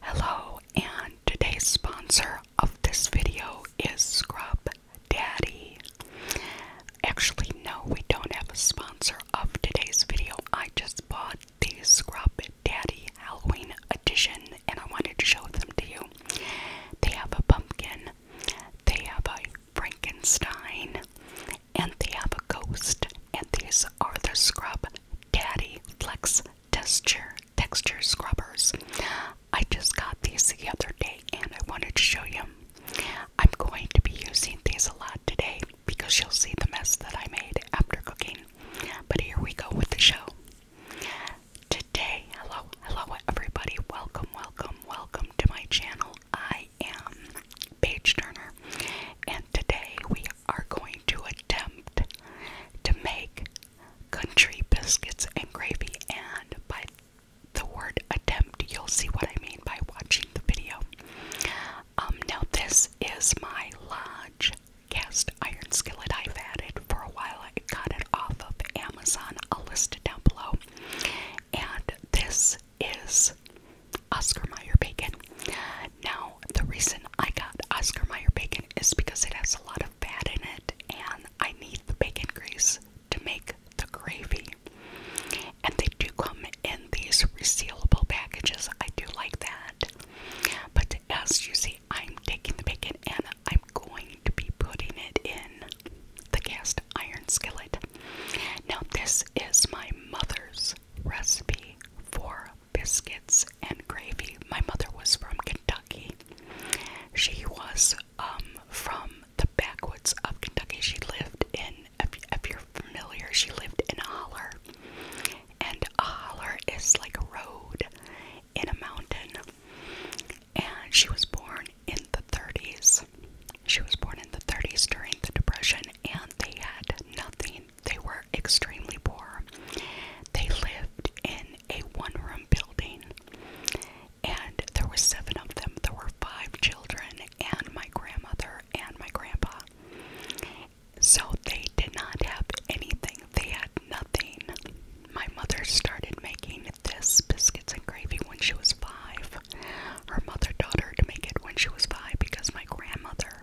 Hello, and today's sponsor of this video is Scrub Daddy. Actually, no, we don't have a sponsor of today's video. I just bought the Scrub Daddy Halloween edition and I wanted to show them to you. They have a pumpkin, they have a Frankenstein, and they have a ghost. And these are the Scrub Daddy Flex texture texture scrubbers. I just got these the other day and I wanted to show you. I'm going to be using these a lot today because you'll see the mess that I made after cooking. But here we go with the show. Today, hello, hello everybody. Welcome, welcome, welcome to my channel. I am Paige Turner and today we are going to attempt to make country biscuits and gravy, and by the word attempt, you'll see what I mean by watching the video. Um, now, this is my Lodge cast iron skillet I've had it for a while. I got it off of Amazon. I'll list it down below. And this is Oscar Mayer bacon. Now, the reason I got Oscar Mayer bacon is because it has a lot of fat in it, and I need the bacon grease to make the gravy. And they do come in these resealable packages. I do like that. But as you see, I'm taking the bacon and I'm going to be putting it in the cast iron skillet. Now, this is my mother's recipe for biscuits, and gravy. My mother was from Kentucky. She was um, from the backwoods of Kentucky. She lived in, if, if you're familiar, she lived in a holler. And a holler is like a road in a mountain. And she was born in the 30s. She was born in the 30s during the Depression, and they had nothing they were extremely poor. They lived in a one-room building, and there were seven of them. There were five children, and my grandmother and my grandpa. So they did not have anything. They had nothing. My mother started making this biscuits and gravy when she was five. Her mother taught her to make it when she was five because my grandmother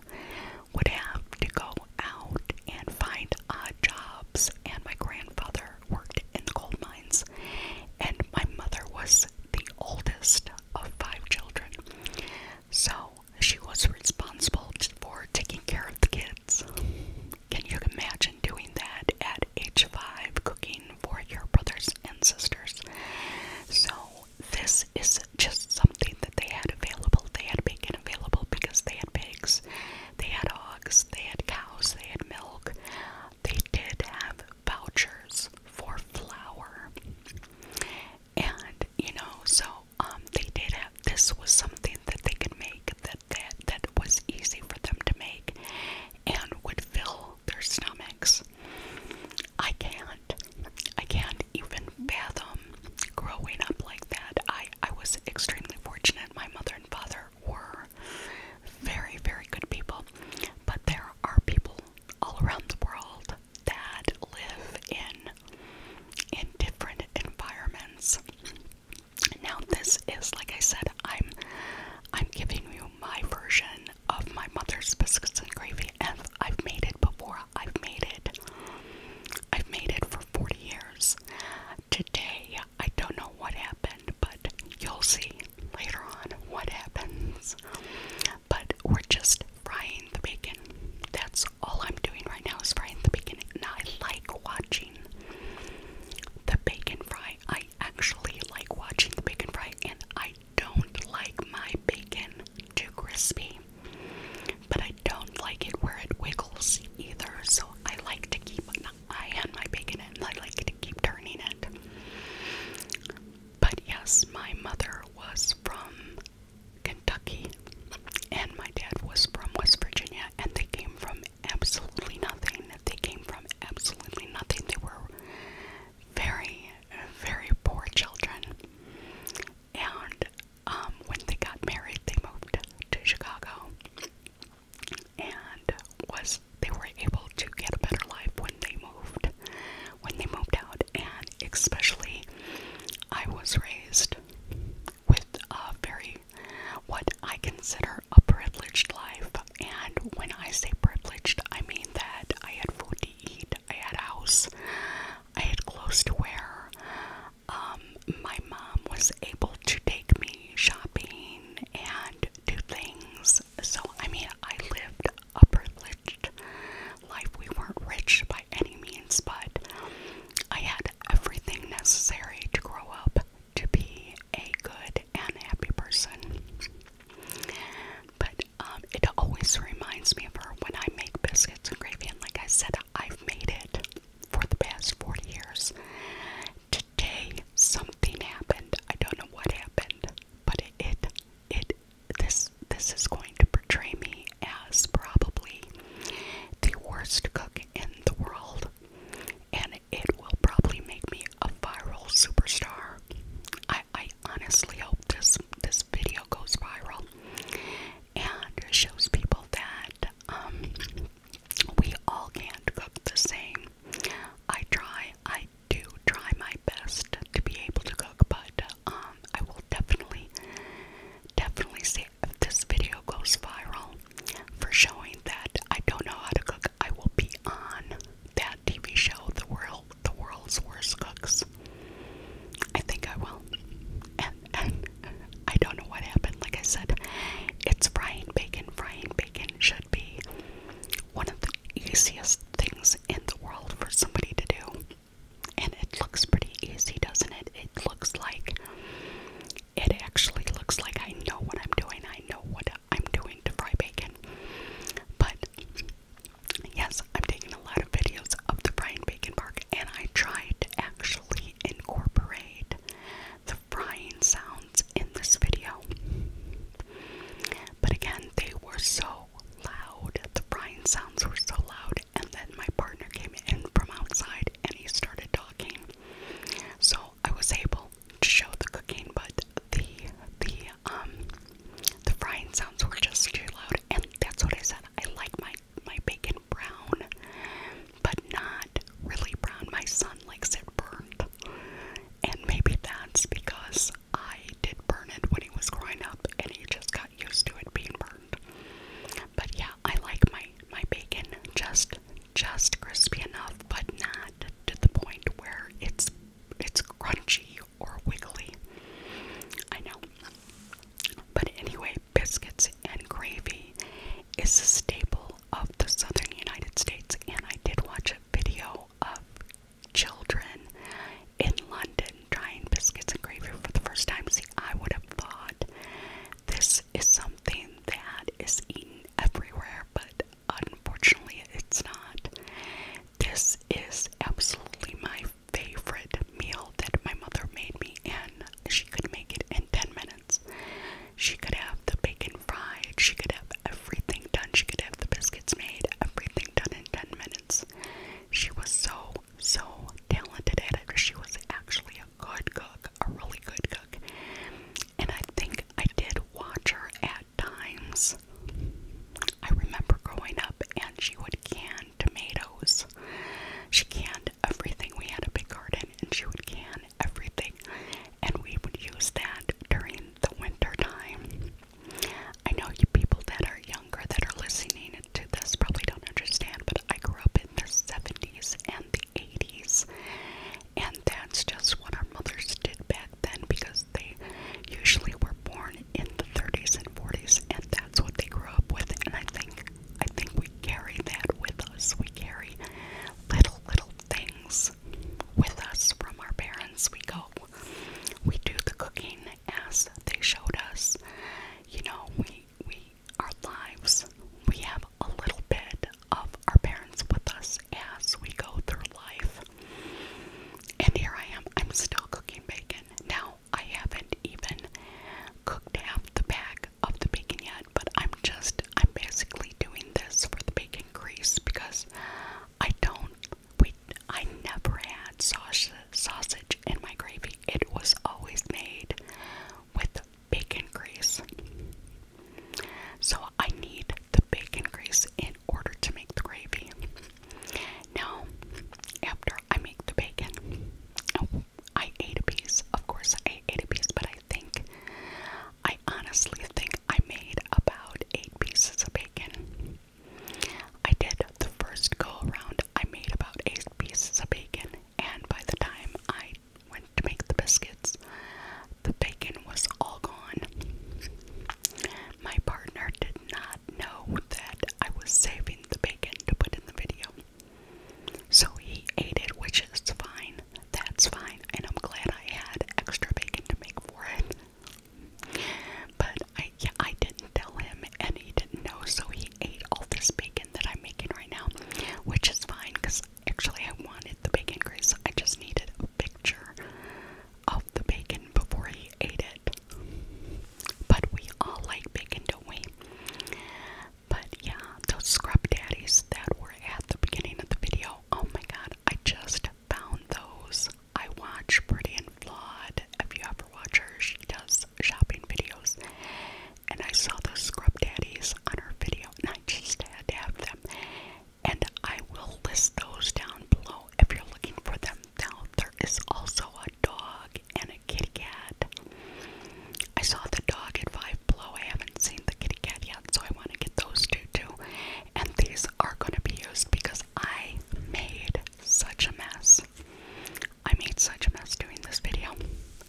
would have to go out and find odd jobs. And my grandfather worked in the gold mines. And my mother was the oldest of five children. So she was responsible for taking care of the kids. Can you imagine doing that at age five, cooking for your brothers and sisters? So, this this is just something that they had available. They had bacon available because they had pigs, they had hogs, they had cows, they had milk. They did have vouchers for flour. And, you know, so um, they did have this was something that they could make that that that was easy for them to make and would fill their stomachs. I can't. I can't could even fathom growing up like that. I, I was extremely fortunate. My mother and father were very, very good people. But there are people all around the world that live in in different environments. Now this is like I said, I'm I'm giving you my version of my mother's biscuits and gravy and I've made it before. I've made it. I've made it for 40 years. Today, I don't know what happened, but you'll see later on what happens. But we're just frying the bacon. That's all I'm doing right now is frying the bacon. and I like watching the bacon fry. I actually like watching the bacon fry and I don't like my bacon too crispy. But I don't like it where it wiggles either, so I like to keep an eye on my bacon and I like to keep turning it. But yes, my mother was from Kentucky and my dad was from West Virginia, and they came from absolutely nothing. They came from absolutely nothing. They were very, very poor children. And um, when they got married, they moved to Chicago, and was they were able to get a better life when they moved, when they moved out, and especially, I was raised with a very what I consider a privileged life, and when I say privileged, I mean that I had food to eat, I had a house, I had clothes to wear, um, my mom was able to take me shopping and do things. So, I mean, I lived a privileged life. We weren't rich by any means, but I had everything necessary to grow up to be a good and happy person. But um, it always reminds me of her when I make biscuits and gravy. And like I said, I've made it for the past 40 years. Today something happened. I don't know what happened, but it it, this this is going to portray me as probably the worst cook in the world. And it will probably make me a viral superstar. I, I honestly hope this this video goes viral and shows people that um, we all can't cook the same. I try, I do try my best to be able to cook, but um, I will definitely, definitely see if this video goes viral for showing that I don't know how to cook. I will be on that TV show, The World, The World's Worst Cooks. I think I will. And, I don't know what happened. Like I said, it's frying bacon. Frying bacon should be one of the easiest things in the world for somebody to do. And it looks pretty easy, doesn't it? It looks like it actually looks like I know what I'm doing. I know what I'm doing to fry bacon. But yes, I'm taking a lot of videos of the Brian Bacon Park, and I tried to actually incorporate the frying sounds in this video. But again, they were so loud. The frying sounds were so loud, and then my partner came in from outside and he started talking. So I was able to show the cooking, but the the um the frying sounds were just too loud, and that's what I said. I like my my bacon brown, but not really brown. My son likes it burnt, and maybe that's because I did burn it when he was growing up, and he just got used to it being burnt. But yeah, I like my my bacon just just crispy enough, but not to the point where it's it's crunchy or wiggly. I know. But anyway, biscuits and gravy is a staple of the southern United States, and I did watch a video of children in London trying biscuits and gravy for the first time. See, I would have thought this is something that is eaten everywhere, but unfortunately, it's not. This is absolutely my favorite meal that my mother made me, and she could make it in 10 minutes. She could have the bacon fried, she could have everything done, she could have the biscuits made, everything done in 10 minutes. She was so, so talented at it. She was actually a good cook, a really good cook. And I think I did watch her at times. I remember growing up, and she would can canned tomatoes. She canned everything. We had a big garden and she would can everything. And we would use that during the winter time. I know you people that are younger that are listening to this probably don't understand, but I grew up in the 70s and the 80s. And that's just what our mothers did back then because they usually were born in the 30s and 40s, and that's what they grew up with, and I think I think we carry that with us. We carry little little things with us from our parents. We go, we do the cooking as they showed us. You know, we we our lives. We have a little bit of our parents with us as we go through life. And here I am, I'm still cooking bacon. Now, I haven't even cooked half the bag of the bacon yet, but I'm just, I'm basically doing this for the bacon grease because I don't, we, I never had sausage, sausage in my gravy. It was always made with bacon grease. So I need the bacon grease in order to make the gravy. Now, after I make the bacon, oh, I ate a piece. Of course, I ate a piece, but I think, I honestly think I made about eight pieces of bacon. I did the first go around, I made about eight pieces of bacon, and by the time I went to make the biscuits, the bacon was all gone. My partner did not know that I was saving the bacon bacon to put in the video. So he ate it, which is fine. That's fine. And I'm glad I had extra bacon to make for it. But I, I didn't tell him, and he didn't know, so he ate all this bacon that I'm making right now, which is fine because actually I wanted the bacon grease. I just needed a picture of the bacon before he ate it. But we all like bacon, don't we? But yeah, those scrub daddies that were at the beginning of the video, oh my god, I just found those. I watch Pretty and Flawed. If you ever watch her, she does shopping videos. And I saw those scrub daddies on her video, and I just had to have them. And I will list those down below if you're looking for them. Now, there is also a dog and a kitty cat. I saw the dog at Five Below. I haven't seen the kitty cat yet, so I want to get those two too. And these are going to be used because I made such a mess. I made such a mess doing this video.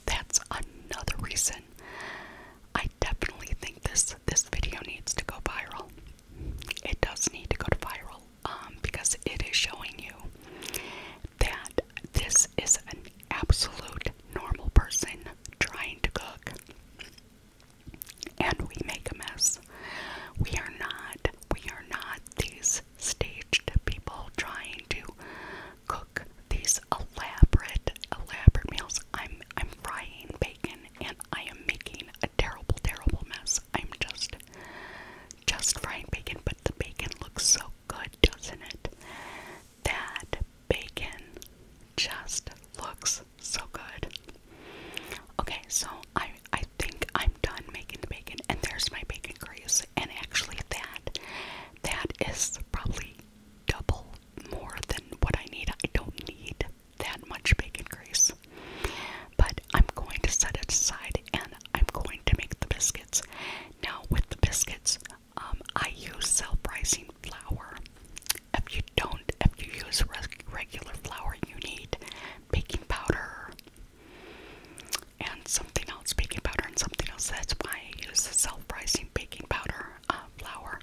That's another reason. I definitely think this this video needs to go viral. It does need to go viral. Um, because it is showing you that this is an absolute normal person trying to cook. And we make a mess. We are not, we are not these staged people trying to cook these elaborate, elaborate meals. I'm I'm frying bacon and I am making a terrible, terrible mess. I'm just just just frying bacon, but the bacon looks so good, doesn't it? That bacon just looks so good. Okay, so I I think I'm done making the bacon and there's my bacon grease and actually that that is probably double more than what I need. I don't need that much bacon grease. But I'm going to set it aside and I'm going to make the biscuits. Now, with the biscuits, um, I use self rising flour. If you don't, if you use regular flour, you need baking powder and something else, baking powder and something else. That's why I use self rising baking powder uh, flour.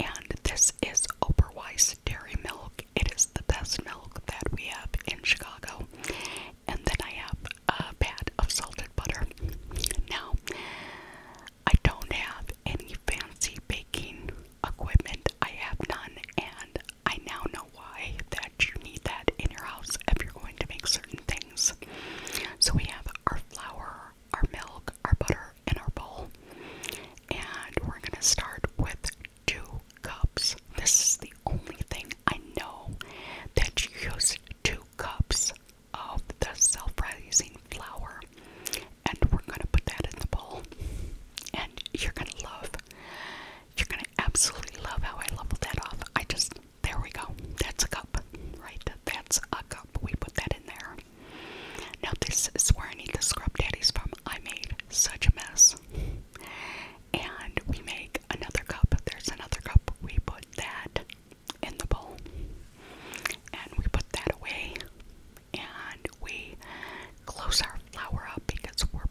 And this is Oberweis dairy milk. It is the best milk that we have in Chicago and then I have a pat of salted butter. Now, I don't have any fancy baking equipment, I have none, and I now know why that you need that in your house if you're going to make certain things. So, we have our flour, our milk, our butter, and our bowl, and we're going to start with two cups. This is the only thing I know that you use two cups of the self-rising flour. And we're gonna put that in the bowl. And you're gonna love, you're gonna absolutely love how I leveled that off. I just, there we go. That's a cup, right? That's a cup. We put that in there. Now this is where I need the scrub daddies from. I made such a mess and we make another cup. There's another cup. We put that in the bowl and we put that away and we close our flour up because we're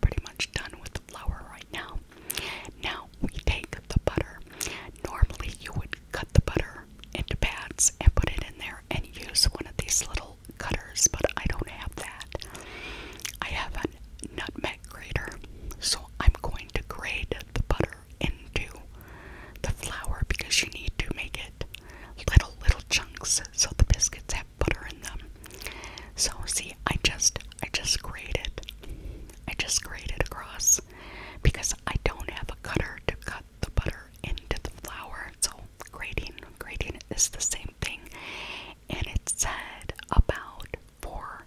pretty much done with the flour right now. Now we take the butter. Normally you would cut the butter into pads and put it in there and use one of these little cutters, but I don't have that. I have a nutmeg grater, so I'm going to grate the butter into the flour because you need to make it little little chunks so the biscuits have butter in them. So see, I just I just grated, I just grated across because I don't have a cutter to cut the butter into the flour. So grading grading is the same thing, and it said about four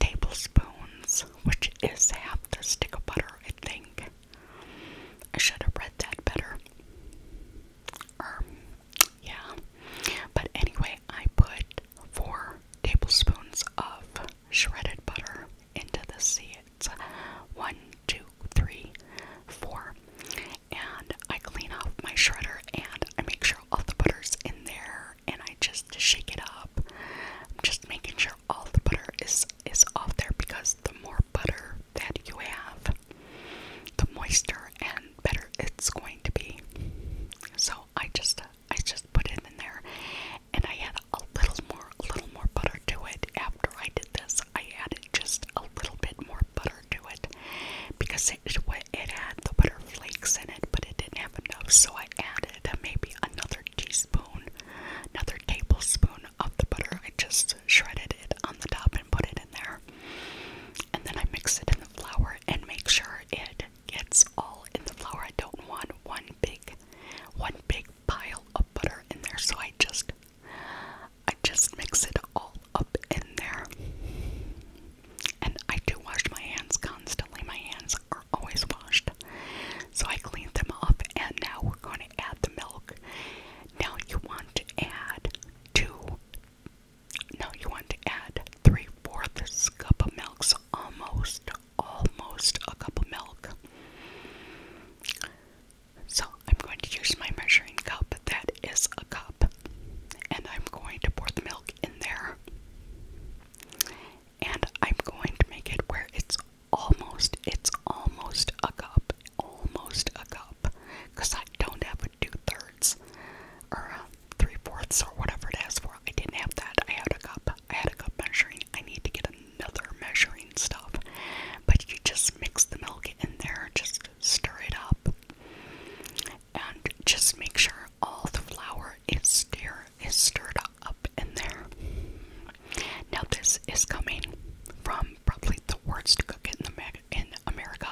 tablespoons, which is half a stick of butter, I think. I should have read that better. Er, yeah. But anyway, I put four tablespoons of shredded butter into the seeds. One, two, three, four and I clean off my shredder and I make sure all the butter's in there and I just shake it up. I'm just making sure all the butter is is off there because the more butter that you have, the moister and better it's going to be. So I just I just put it in there and I add a little more a little more butter to it after I did this. I added just a little bit more butter color it because it, it had the butter flakes in it, but it didn't have enough, so I added maybe another teaspoon, another tablespoon of the butter. I just shredded it on the top and put it in there, and then I mix it in the flour and make sure it gets all in the flour. I don't want one big, one big pile of butter in there, so I just, I just mix it all up in there. And I do wash my hands constantly. My hands are always washed. So I cleaned them up and now we're going to add the milk. Now you want to add two, Now you want to add three fourths cup of milk. So almost, almost a cup of milk. So I'm going to use my measuring cup. That is a cup. And I'm going to pour the milk in there. And I'm going to make it where it's almost, it's almost a cup, almost a cup, because I don't have a two thirds or a three fourths or whatever it is for. I didn't have that. I had a cup. I had a cup measuring. I need to get another measuring stuff. But you just mix the milk in there, just stir it up and just make sure all the flour is stir is stirred up in there. Now this is coming from probably the worst cook in the in America,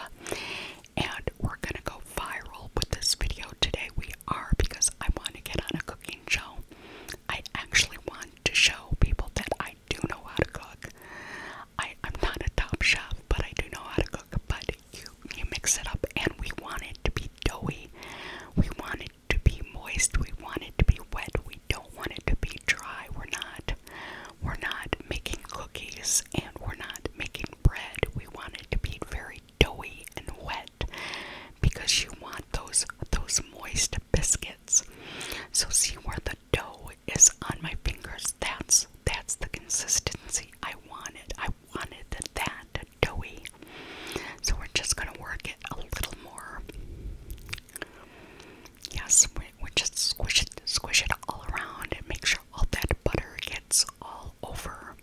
and we're gonna go viral with this video today. We are because I want to get on a cooking show. I actually want to show people that I do know how to cook. I, I'm not a top chef, but I do know how to cook. But you, you mix it up, and we want it to be doughy. We want it to be moist. We want it to be wet. We don't want it to be dry. We're not, we're not making cookies, and we're not making bread. We want it to be very doughy and wet, because you want those those moist biscuits. So see where the dough is on my fingers. That's that's the consistency I wanted. I wanted that, doughy. So we're just going to work it a little more. Yes, we, we just squish it, squish it all around and make sure all that butter gets all over.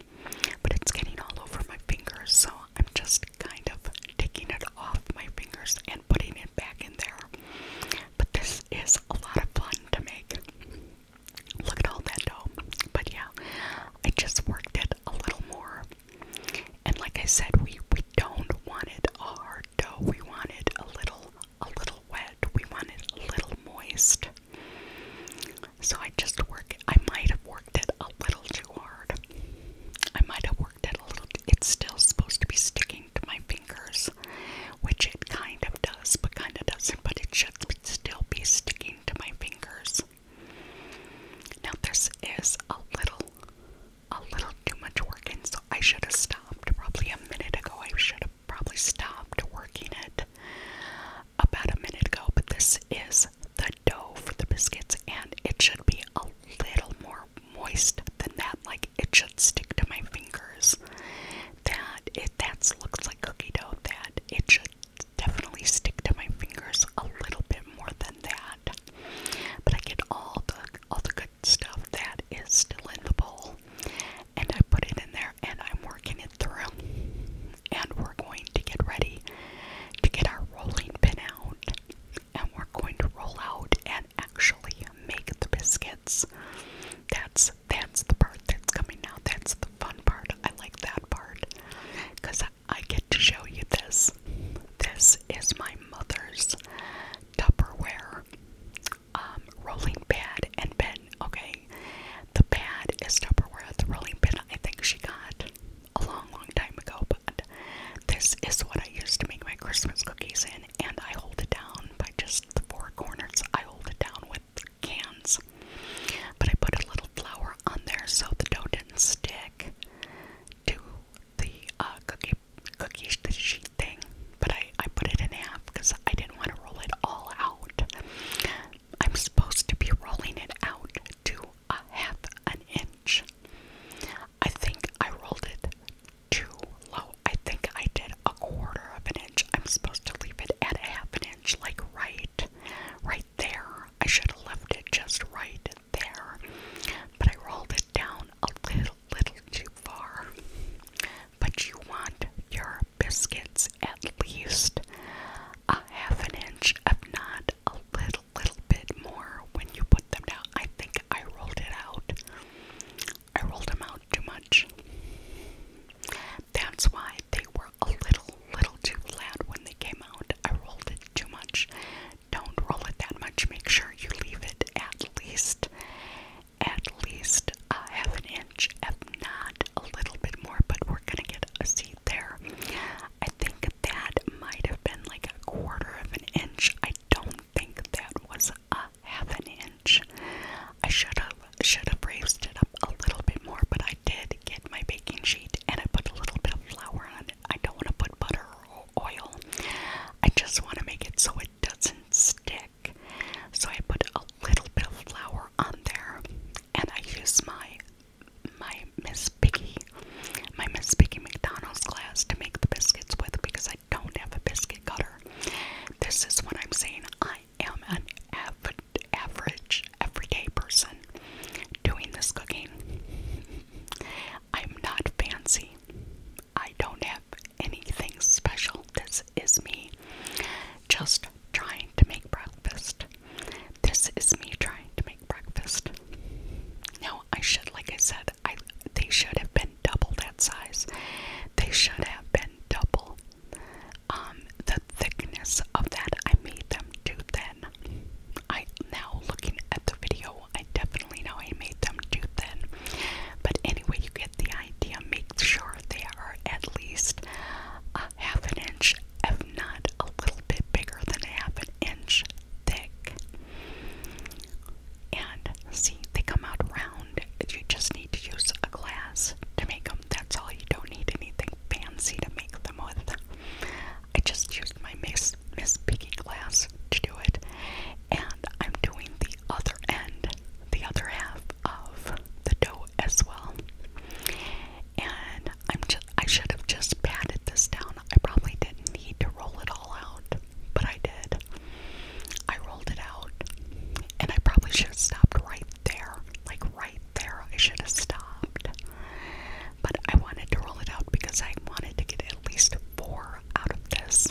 But it's getting all over my fingers, so I'm just kind of taking it off my fingers and putting it back in there. But this is a lot of fun to make. Look at all that dough. But yeah, I just worked it a little more. And like I said, we we don't want it hard dough. We want it a little a little wet. We want it a little moist. So I just work I might have worked it a little too hard. I might have worked it a little it's still supposed to be sticking to my fingers which it kind of does, but kind of doesn't, but it should still be sticking to my fingers. Now this is a little, a little too much working, so I should have stopped probably a minute ago. I should have probably stopped working it about a minute ago, but this is the dough for the biscuits, and it should be a little more moist than that. Like it should stick to my fingers. That it that looks like cookie dough that it should definitely stick to my fingers a little bit more than that. But I get all the all the good stuff that is still in the bowl and I put it in there and I'm working it through. And we're going to get ready to get our rolling pin out and we're going to roll out and actually make the biscuits. That's that's the part that's coming out. That's the fun part. I like that part because I get to show you this. This is my mother's Tupperware um, rolling pad and pen. Okay, the pad is Tupperware. The rolling pin I think she got a long, long time ago, but this is what I use to make my Christmas cookies in, and I hold it down by just the four corners. I hold it down with cans. But I put a little flour on there so the dough didn't stick to the uh, cookie cookie sheet thing. But I, I put it in half because I didn't want to roll it all out. I'm supposed to be rolling it out to a half an inch. I think I rolled it too low. I think I did a quarter of an inch. I'm supposed to leave it at half an inch, like right, right there. I should have left it just right there, but I rolled it down a little, little too far. But you want your biscuits at least a half an inch, if not a little, little bit more when you put them down. I think I rolled it out I rolled them out too much. That's why they were a little, little too flat when they came out. I rolled it too much. Don't roll it that much. Make sure you leave it at least, at least a half an inch, if not a little bit more. But we're gonna get a seat there. I think that might have been like a quarter of an inch. I don't think that was a half an inch. I should have should have raised it up a little bit more, but I did get my baking sheet and I put a little bit of flour on it. I don't want to put butter or oil. I just want to make it so it doesn't stick. So I put a little bit of flour on there, and I use my my Miss Piggy, my Miss Piggy McDonald's glass to make the biscuits with because I don't have a biscuit cutter. This is what I'm saying. I i am an av average, everyday person doing this cooking. I'm not fancy. I don't have anything special. This is me just trying to make breakfast. This is me trying to make breakfast. No, I should, like I said, I they should have been double that size. They should have been double um, the thickness of that, I made them too thin. I now looking at the video, I definitely know I made them too thin. But anyway, you get the idea. Make sure they are at least a half an inch, if not a little bit bigger than a half an inch thick. And see, they come out round. You just need need to use a glass to make them. That's all. You don't need anything fancy to make them with. I just used my Miss Miss Piggy glass to do it, and I'm doing the other end, the other half of the dough as well. And I'm just I should have just patted this down. I probably didn't need to roll it all out, but I did. I rolled it out, and I probably should have stopped right there. Like, right there, I should have stopped. But I wanted to roll it out because I wanted to get at least four out of this.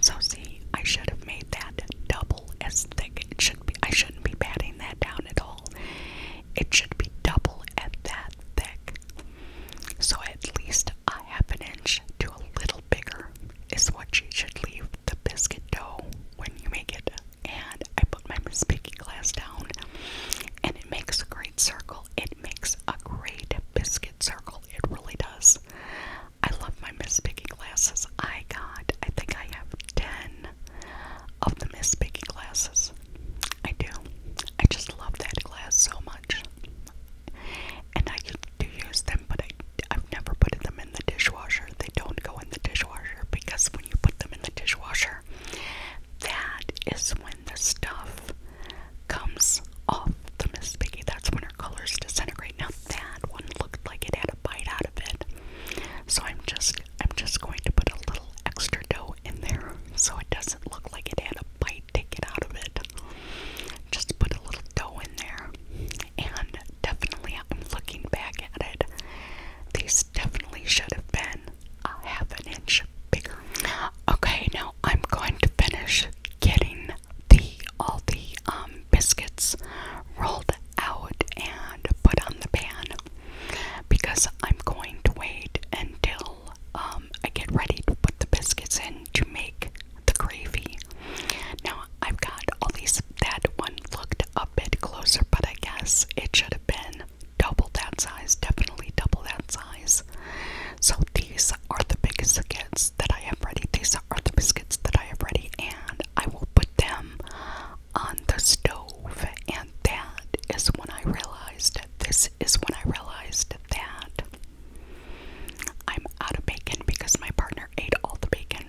So, see, I should have made that double as thick. It should be, I shouldn't be patting that down at all. It should be double at that thick. So, at least a half an inch to a little bigger is what you should leave the biscuit dough when you make it. And I put my Miss speaking glass down and it makes a great circle. It makes a great biscuit circle. It really does. I love my Miss Piggy glasses. I got, I think I have 10 of the Miss Piggy glasses. I do. I just love that glass so much. And I to use them, but I, have never put them in the dishwasher. They don't go in the dishwasher because when you put them in the dishwasher, that is when the stuff comes off the Miss Piggy. That's when our colors disintegrate. Now that one looked like it had a bite out of it. So I'm just I'm just going to put a little extra dough in there so it doesn't look like it had a bite taken out of it. Just put a little dough in there and definitely I'm looking back at it. These definitely should have been a half an inch bigger. Okay, now I'm going to finish getting the all the um biscuits rolled out and put on the pan because I'm going to wait until um I get ready to put the biscuits in to make the gravy. Now, I've got all these, that one looked a bit closer, but I guess it should have been double that size, definitely double that size. So these are the biscuits that I have ready. These are the biscuits that I have ready, and I will put them on the stove. And that is when I realized, this is when I realized that I'm out of bacon because my partner ate all the bacon.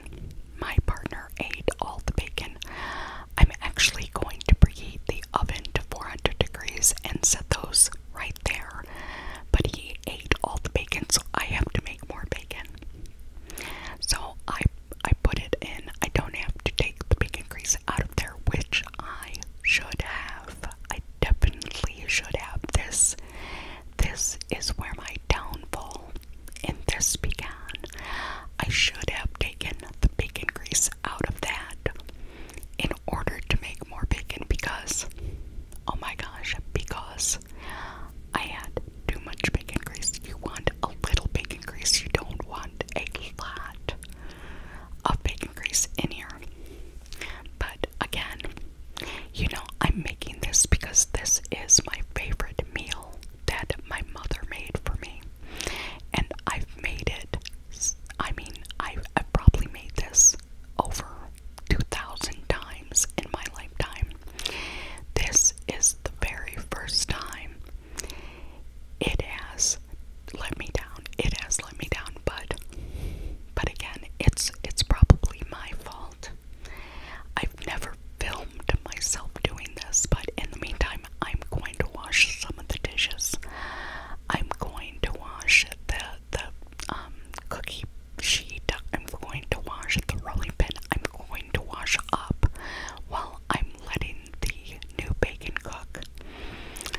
My partner ate all the bacon. I'm actually going to preheat the oven to 400 degrees and set those right there. But he ate all the bacon, so I have to make more bacon. So I I put it in. I don't have to take the bacon grease out of there, which I should have. I definitely should have this. This is where my downfall and this began. I should have taken the bacon grease out of that in order to make more bacon because, oh my gosh, because I had too much bacon grease. You want a little bacon grease, you don't want a lot of bacon grease in here. But again, you know, I'm making this because this is my favorite meal that my mother made for me. And I've made it, I mean, I've, probably made this over 2,000 times in my lifetime. This is the very first time it has let me down. It has let me down, but but again, it's it's probably my fault. I've never filmed myself doing this, but in the meantime, I'm going to wash some of the dishes. I'm going to wash the the um, cookie sheet. I'm going to wash the rolling pin. I'm going to wash up while I'm letting the new bacon cook.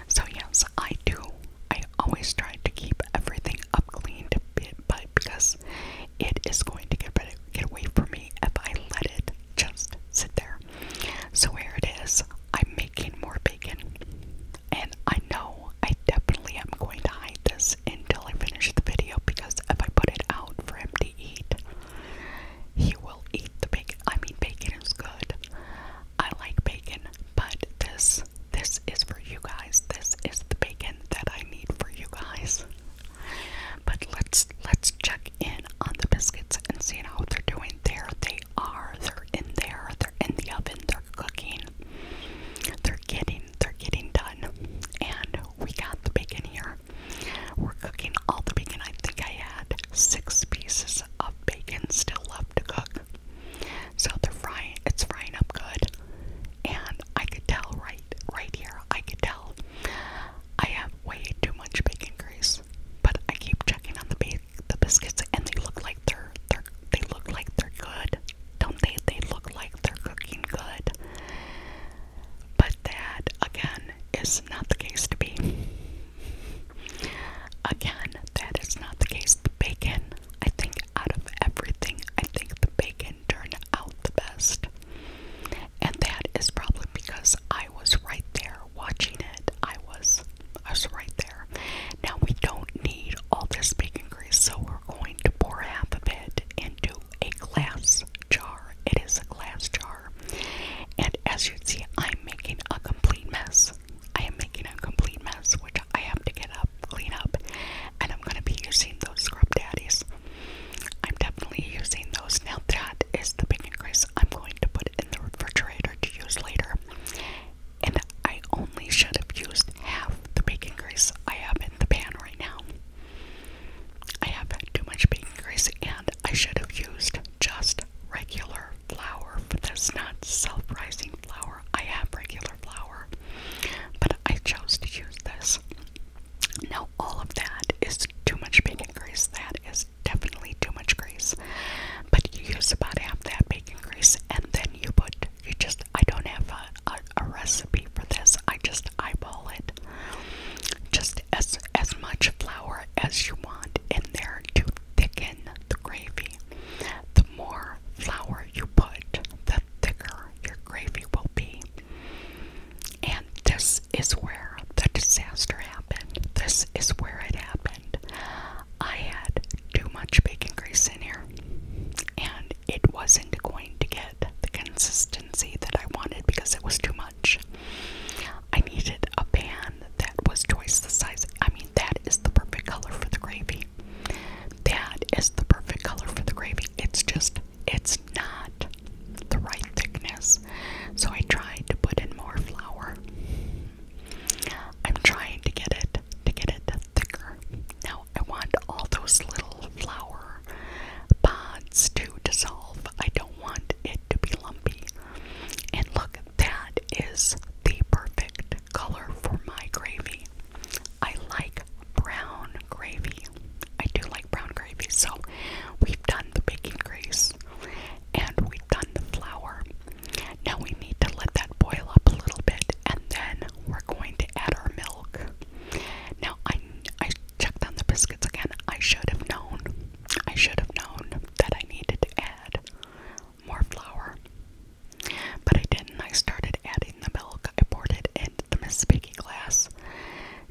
So yes, I do. I always try to keep everything up clean, but because it is going to get, get away from me if I let it just sit there. So here it is. I'm making more bacon. And I know I definitely am going to hide this until I finish the video because if I put it out for him to eat, he will eat the bacon. I mean bacon is good. I like bacon, but this this is for you guys. This is the bacon that I need for you guys. But let's let's check in on the biscuits and see how they're doing. There they are. They're in there. They're in the oven. They're cooking. They're getting they're getting done. And we got the bacon here. We're cooking all the bacon. I think I had six pieces of bacon still left to cook. So they're frying it's frying up good. And I could tell right right, here, I can tell I have way too much bacon grease. But I keep checking on the ba the biscuits, and they look like they're they're they look like they're good, don't they? They look like they're cooking good. But that again is not the case to be. Again, that is not the case. The bacon, I think, out of everything, I think the bacon can turn out the best. And that is probably because I was right there watching it. I was I was right there. Now we don't need all this bacon grease, so we're going to pour half of it into a glass jar. It is a glass jar. And as you can see, I'm making a complete mess. I am making a complete mess, which I have to get up cleanup, and I'm gonna be using those scrub daddies. I'm definitely using those. Now that is the bacon grease I'm going to put in the refrigerator to use later. And I only should have used half the bacon grease I have in the pan right now. I have too much bacon grease and I should have used just regular flour for this, not self-rising flour. I have regular flour, but I chose to use this. Now, all of that is too much bacon grease. That is definitely too much grease. But you use about half that bacon grease, and then you put, you just, I don't have a, a, a recipe for this. I just eyeball it. Just as, as much flour as you want in there to thicken the gravy. The more flour you put, the thicker your gravy will be. And this is where the disaster happened. This is where it happened. I had too much bacon grease in here, and it wasn't going to get the consistency that I wanted because it was too much. I needed a pan that was twice the size. I mean, that is the perfect color for the gravy. That is the perfect color for the gravy. It's just, it's not the right thickness. So I tried to put in more flour. I'm trying to get it to get it thicker. Now I want all those little flour pods to dissolve. I don't want it to be lumpy. And look, that is the perfect color for my gravy. I like brown gravy. I do like brown gravy. So we've done the baking grease and we've done the flour. Now we need to let that boil up a little bit and then we're going to add our milk. Now I I checked on the biscuits again. I should have known. I should have known that I needed to add more flour. But I didn't. I started adding the milk. I poured it in the Miss Speaking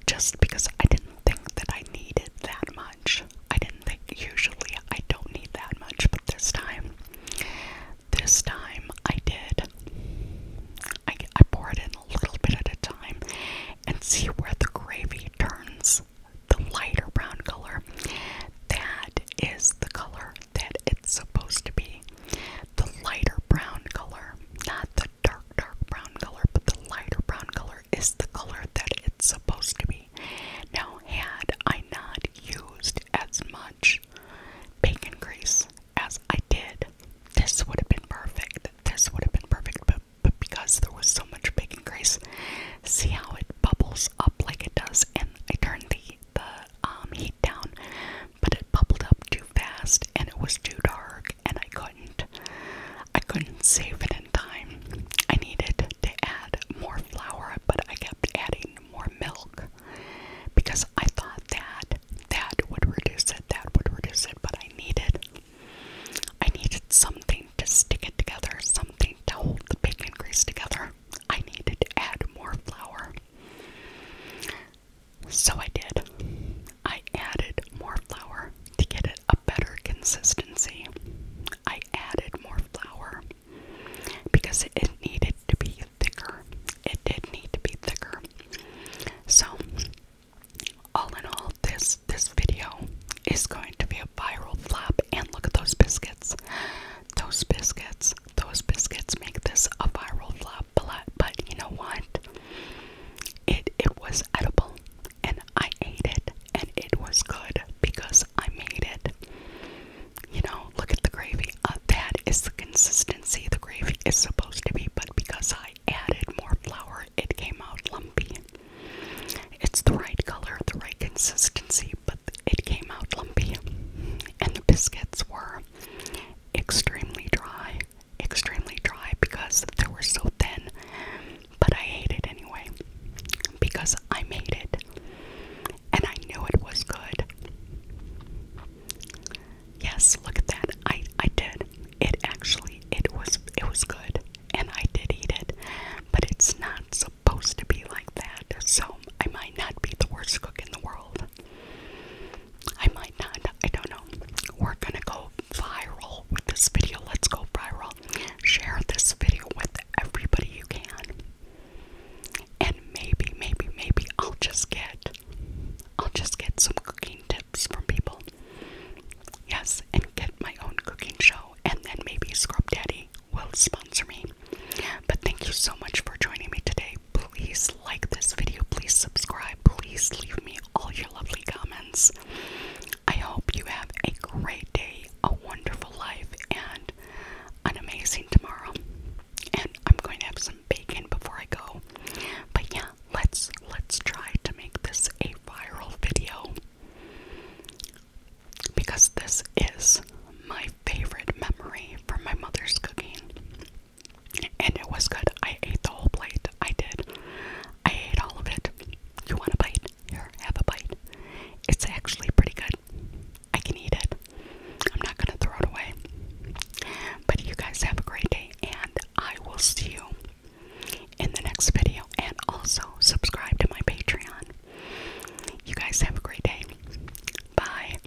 just because I didn't think that I needed that much. I didn't think usually I don't need that much, but this time, this time I did. I, I pour it in a little bit at a time and see where the gravy turns the lighter brown color. That is the color that it's supposed to be the lighter brown color, not the dark, dark brown color, but the lighter brown color is the color that it's supposed to be. Now, had I not used as much bacon grease as I did, this would have been perfect. This would have been perfect, but, but because there was so much bacon grease, see how it bubbles up like it does, and I turn the the um, heat down but it bubbled up too fast and it was too dark and I couldn't. I couldn't save it in time. I needed to add more flour, but I kept adding more milk because I thought that that would reduce it, that would reduce it, but I needed I needed something to stick it together, something to hold the bacon grease together. I needed to add more flour. So I did. I added more flour to get it a better consistency. I added more flour because it needed to be thicker. It did need to be thicker. So all in all this this video is going to be a viral flop and look at those biscuits. Those biscuits, those biscuits make this a viral flop up but you know what? It it was edible and I ate it and it was good because I made it. You know, look at the gravy. Uh, that is the consistency the gravy is supposed to be, but because I added more flour, it came out lumpy. It's the right color, the right consistency, but it came out lumpy. And the biscuits were extremely dry, extremely dry because they were so thin. But I ate it anyway because I made it and I knew it was good. Yes, look at that. I I did. It actually it was it was good and I did eat it. But it's not supposed to be like that. So I might not be the worst cook in the world. I might not, I don't know. We're gonna go viral with this video. Let's go viral. Share this video with everybody you can. And maybe, maybe, maybe I'll just get I'll just get some cooking tips from people. Yes, and get my own cooking show and then maybe Scrub Daddy will sponsor me. But thank you so much for joining me today. Please like this video, please subscribe, please leave me all your lovely comments. I hope you have a great day, a wonderful life, and an amazing tomorrow. And I'm going to have some bacon before I go. But yeah, let's let's try to make this a viral video. Because this is my favorite memory from my mother's cooking and it was good. I ate the whole plate. I did. I ate all of it. You want a bite? Here, have a bite. It's actually pretty good. I can eat it. I'm not going to throw it away. But you guys have a great day, and I will see you in the next video. And also, subscribe to my Patreon. You guys have a great day. Bye.